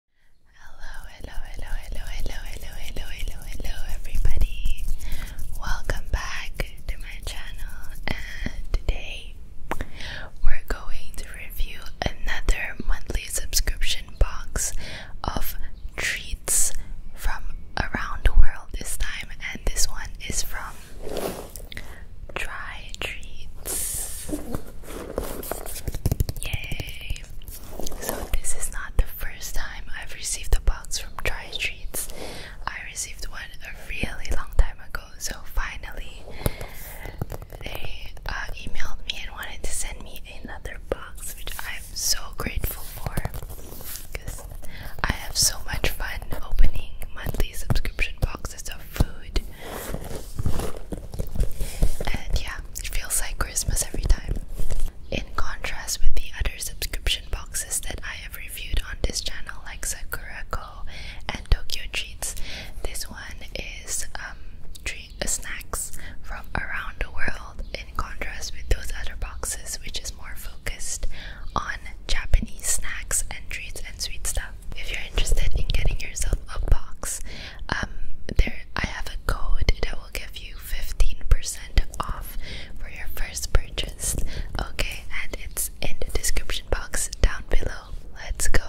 Hello, hello, hello, hello, hello, hello, hello, hello, hello, everybody. Welcome back to my channel, and today we're going to review another monthly subscription box of treats from around the world this time, and this one is from Try Treats. Yay! So, this is not the first time I've received a box from Dry Streets. I received one a really long time ago, so finally they uh, emailed me and wanted to send me another box, which I'm so grateful for because I have so much fun opening monthly subscription boxes of food. And yeah, it feels like Christmas every time. In contrast with the other subscription boxes that I have reviewed on this channel, like Sakura Sakurako and Tokyo Treats, this one is um, treat, uh, snacks from around the world, in contrast with those other boxes, which is more focused on Japanese snacks and treats and sweet stuff. If you're interested in getting yourself a box, um, there I have a code that will give you 15% off for your first purchase. Okay, and it's in the description box down below. Let's go.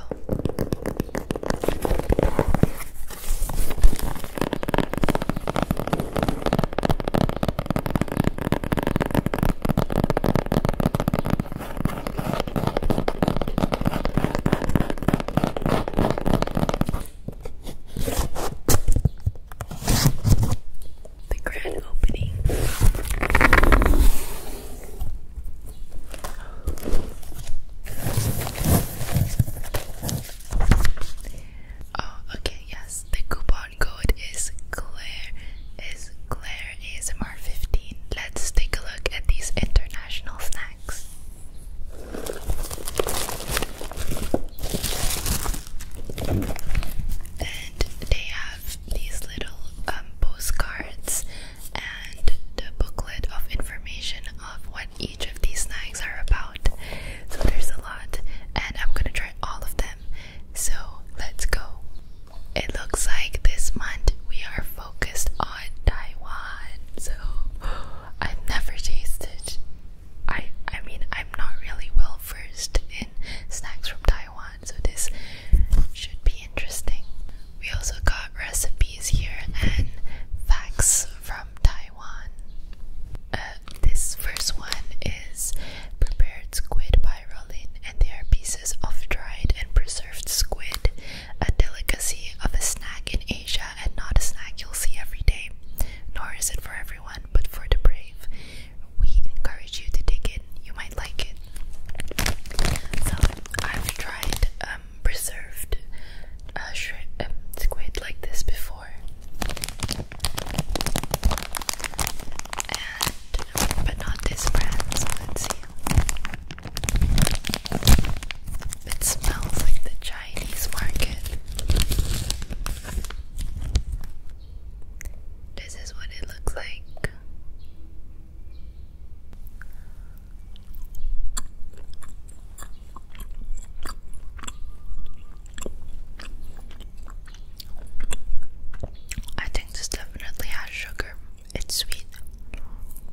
The grand opening. Oh, okay, yes. The coupon code is Claire is Claire ASMR fifteen. Let's take a look at these international snacks. And they have these little um, postcards and the booklet of information of what each of these snacks are about. So there's a lot, and I'm gonna try all of them. So let's go. It looks like this month we are focused on Taiwan, so I've never tasted. I I mean I'm not really well versed in snacks from Taiwan, so this should be interesting. We also got recipes here and facts from Taiwan. Uh, this first one is prepared squid by Rolin, and they are pieces of dried and preserved squid a delicacy of a snack in Asia and not a snack you'll see every day. Nor is it for everyone, but for the brave. We encourage you to take it. you might like it. So, I've tried um, preserved uh, um, squid like this before. but not this brand, let's see. It smells like the Chinese market. This is what it looks like. I think this definitely has sugar. It's sweet.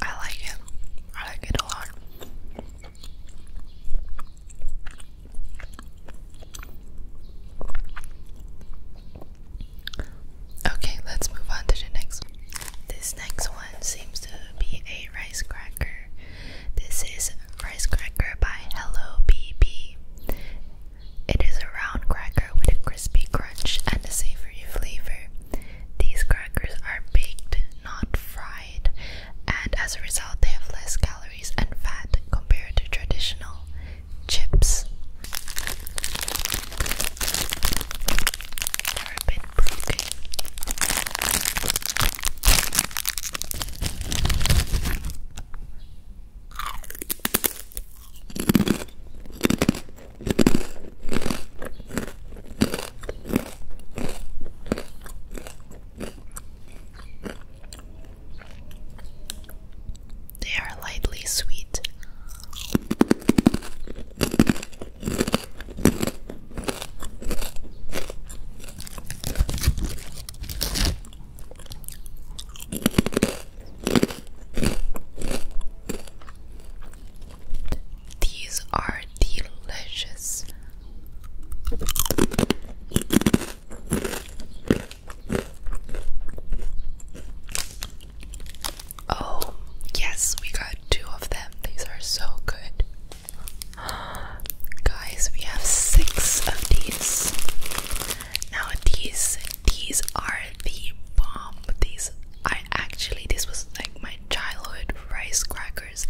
I like it. I like it a lot. Okay, let's move on to the next one. This next one seems to be a rice cracker. This is Rice Cracker by Hello BB. It is a round cracker with a crispy crunch and a savory these crackers are baked, not fried, and as a result, they have less calories and fat compared to traditional chips. They are lightly sweet. These are delicious. Oh, yes, we got two of them. These are so good. Guys, we have six of these. Now, these, these are the bomb. These, I actually this was like my childhood rice crackers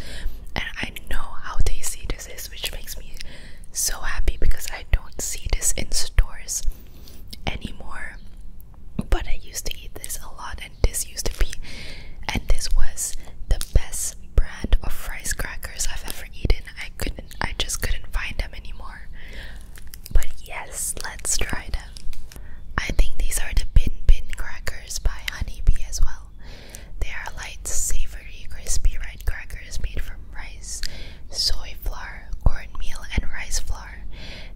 and I know how tasty this is which makes me so happy because I don't see this in stores anymore but I used to eat this a lot and this used to be and this was the best brand of rice crackers I've ever eaten. I couldn't I just couldn't find them anymore. But yes, let's try them. I think these are the Bin Bin crackers by Honeybee as well. They are light, savory, crispy red crackers made from rice, soy flour, cornmeal, and rice flour.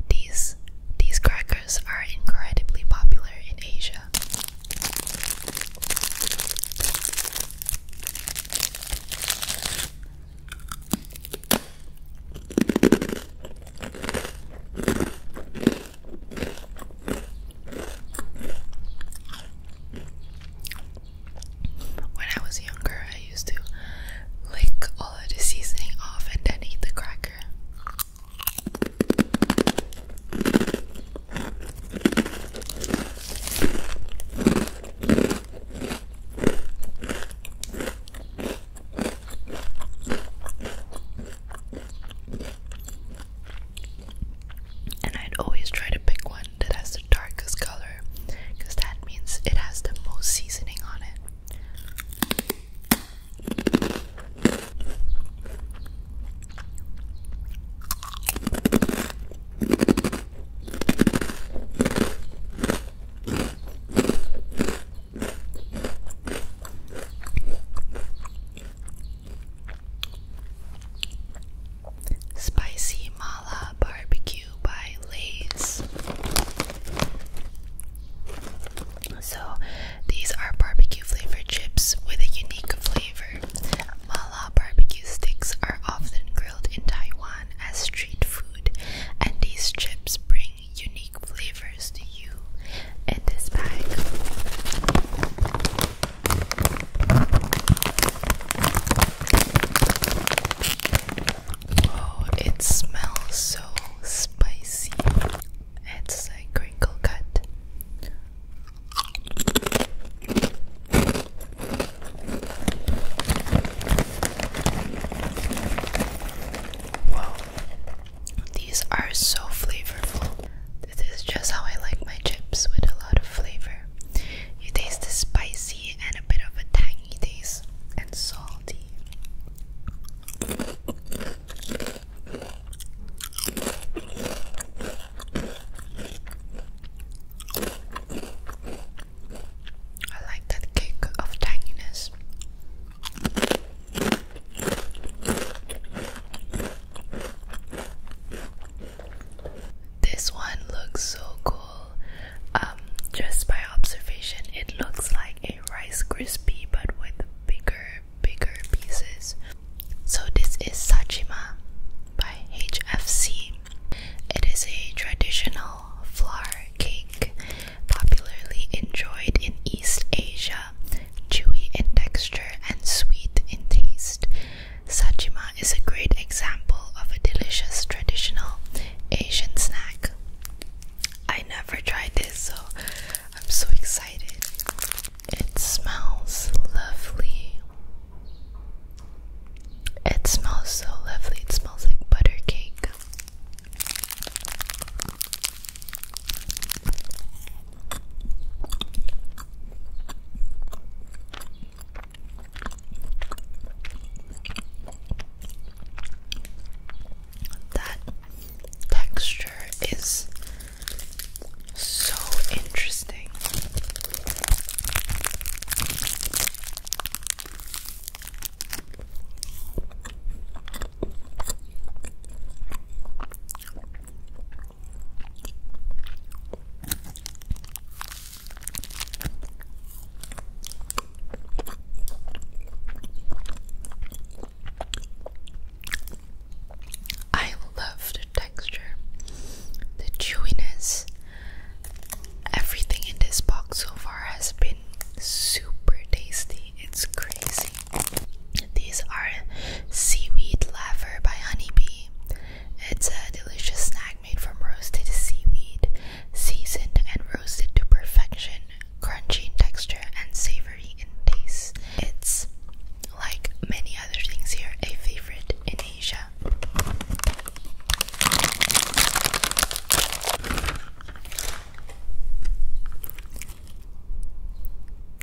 These these crackers are incredibly popular in Asia. When I was younger, I used to lick all of the seasoning off and then eat the cracker. And I'd always try to pick one that has the darkest color because that means it has the most seasoning on it. Spicy Mala Barbecue by Lay's. So, these are barbecue flavored chips with a unique flavor. Mala barbecue sticks are often grilled in Taiwan as street food, and these chips bring unique flavors to you in this bag. Oh, it smells so spicy. It's like crinkle cut. Wow. These are so flavorful. This is just how I like my chips with a lot of flavor. You taste the spicy and a bit of a tangy taste, and salty. I like that kick of tanginess. This one looks so cool. Um, just by observation, it looks like a Rice Krispie but with bigger, bigger pieces. So, this is Sachima by HFC. It is a traditional flour cake, popularly enjoyed in East Asia, chewy in texture and sweet in taste. Sachima is a great example of a delicious traditional Asian snack. I never tried this, so I'm so excited. It smells lovely. It smells so lovely. It smells like butter cake. That texture is so interesting. I love the texture, the chewiness. Everything in this box so far has been been super tasty. It's crazy. These are seaweed laver by Honeybee. It's a delicious snack made from roasted seaweed, seasoned and roasted to perfection, crunchy in texture and savory in taste. It's like many other things here, a favorite in Asia.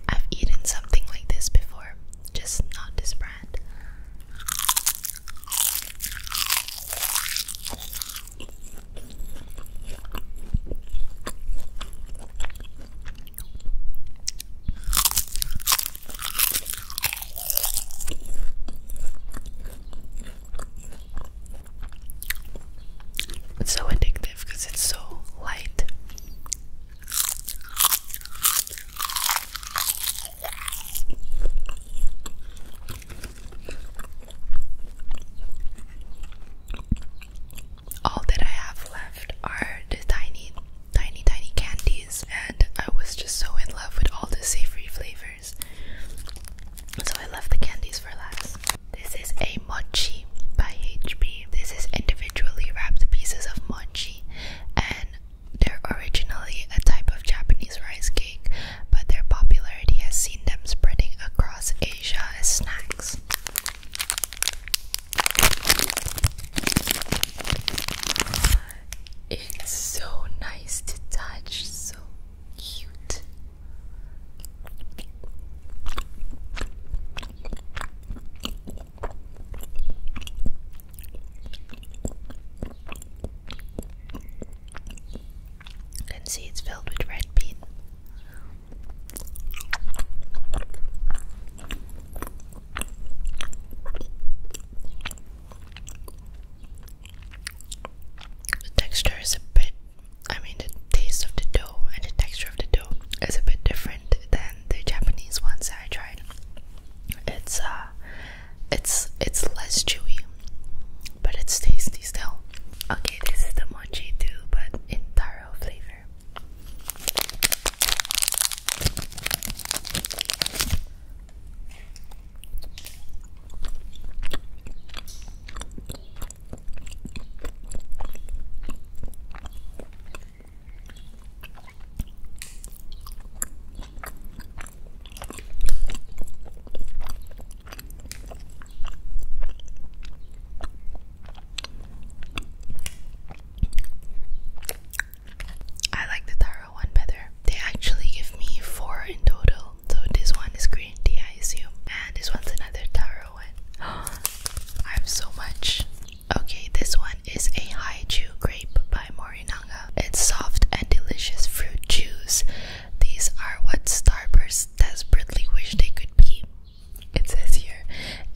I've eaten something like this before, just not this brand. It's so addictive because it's so light. All that I have left are the tiny, tiny, tiny candies, and I was just so in love with all the savory flavors. So I left the candies for last. This is a mochi by HB. This is individually wrapped pieces of mochi, and they're originally a type of Japanese rice cake, but their popularity has seen them spreading across Asia as snacks. It's so nice to touch, so cute. You can see it's filled with red bean. The texture is a bit I mean, the taste of the dough and the texture of the dough is a bit different than the Japanese ones that I tried. It's uh, it's it's less chewy, but it's tasty still. Okay, this is the mochi too, but in taro flavor. I like the taro one better. They actually give me four in total. So this one is green tea, I assume, and this one's another taro one. I have so much. Okay, this one is a Haiju grape by Morinaga. It's soft and delicious fruit juice. These are what starbursts desperately wish they could be. It says here,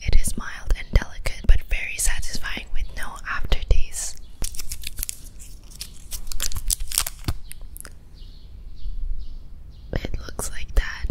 it is mild and delicate, but very satisfying with no aftertaste. It looks like that.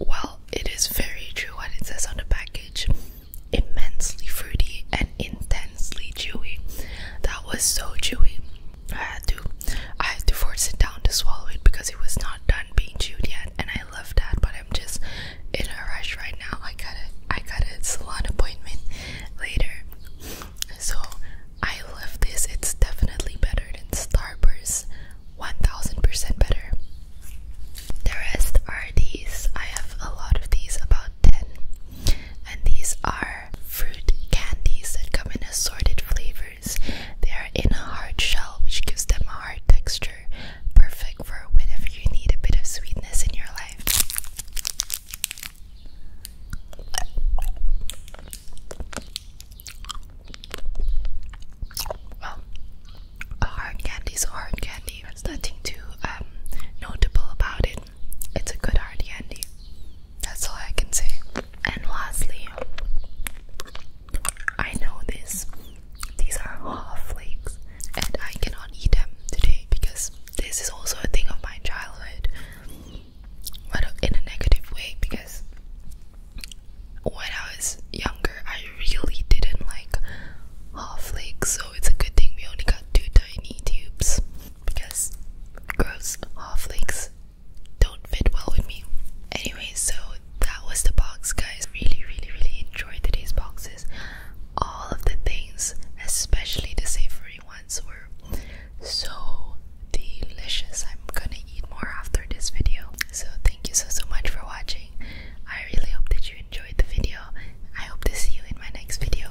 Well, it is very true what it says on the package immensely fruity and intensely chewy. That was so chewy. I had to I had to force it down to swallow it because it was not done being chewed yet and I love that but I'm just in a rush right now. I got a I got a salon appointment later. So I love this. It's definitely better than Starburst. 1000% better. The rest are these. I have a lot of these about 10. And these are fruit candies that come in assorted flavors. They are in a hard shell, which gives them a hard texture. Perfect for whenever you need a bit of sweetness in your life. Well, a hard candy is a hard candy. nothing too um, notable about it. It's a good hard candy. That's all I can say. And lastly, I know this. These are half flakes, and I cannot eat them today because this is also a thing of my childhood, but in a negative way. Because when I was younger, I really didn't like half flakes so it's a good thing we only got two tiny tubes because gross halflings don't fit well with me. Anyway, so that was the box, guys. Really, really, really enjoyed today's boxes. All of the things, especially the savory ones, were so delicious. I'm gonna eat more after this video. So, thank you so so much for watching. I really hope that you enjoyed the video. I hope to see you in my next video.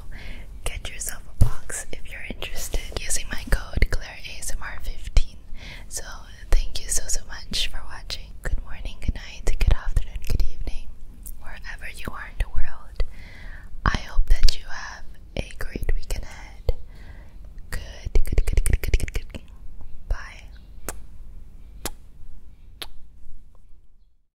Get yourself a box if you're interested using my code ClaireASMR15. So thank you so so much for watching. Good morning, good night, good afternoon, good evening, wherever you are in the world. I hope that you have a great weekend ahead. Good, good, good, good, good, good, good. Bye.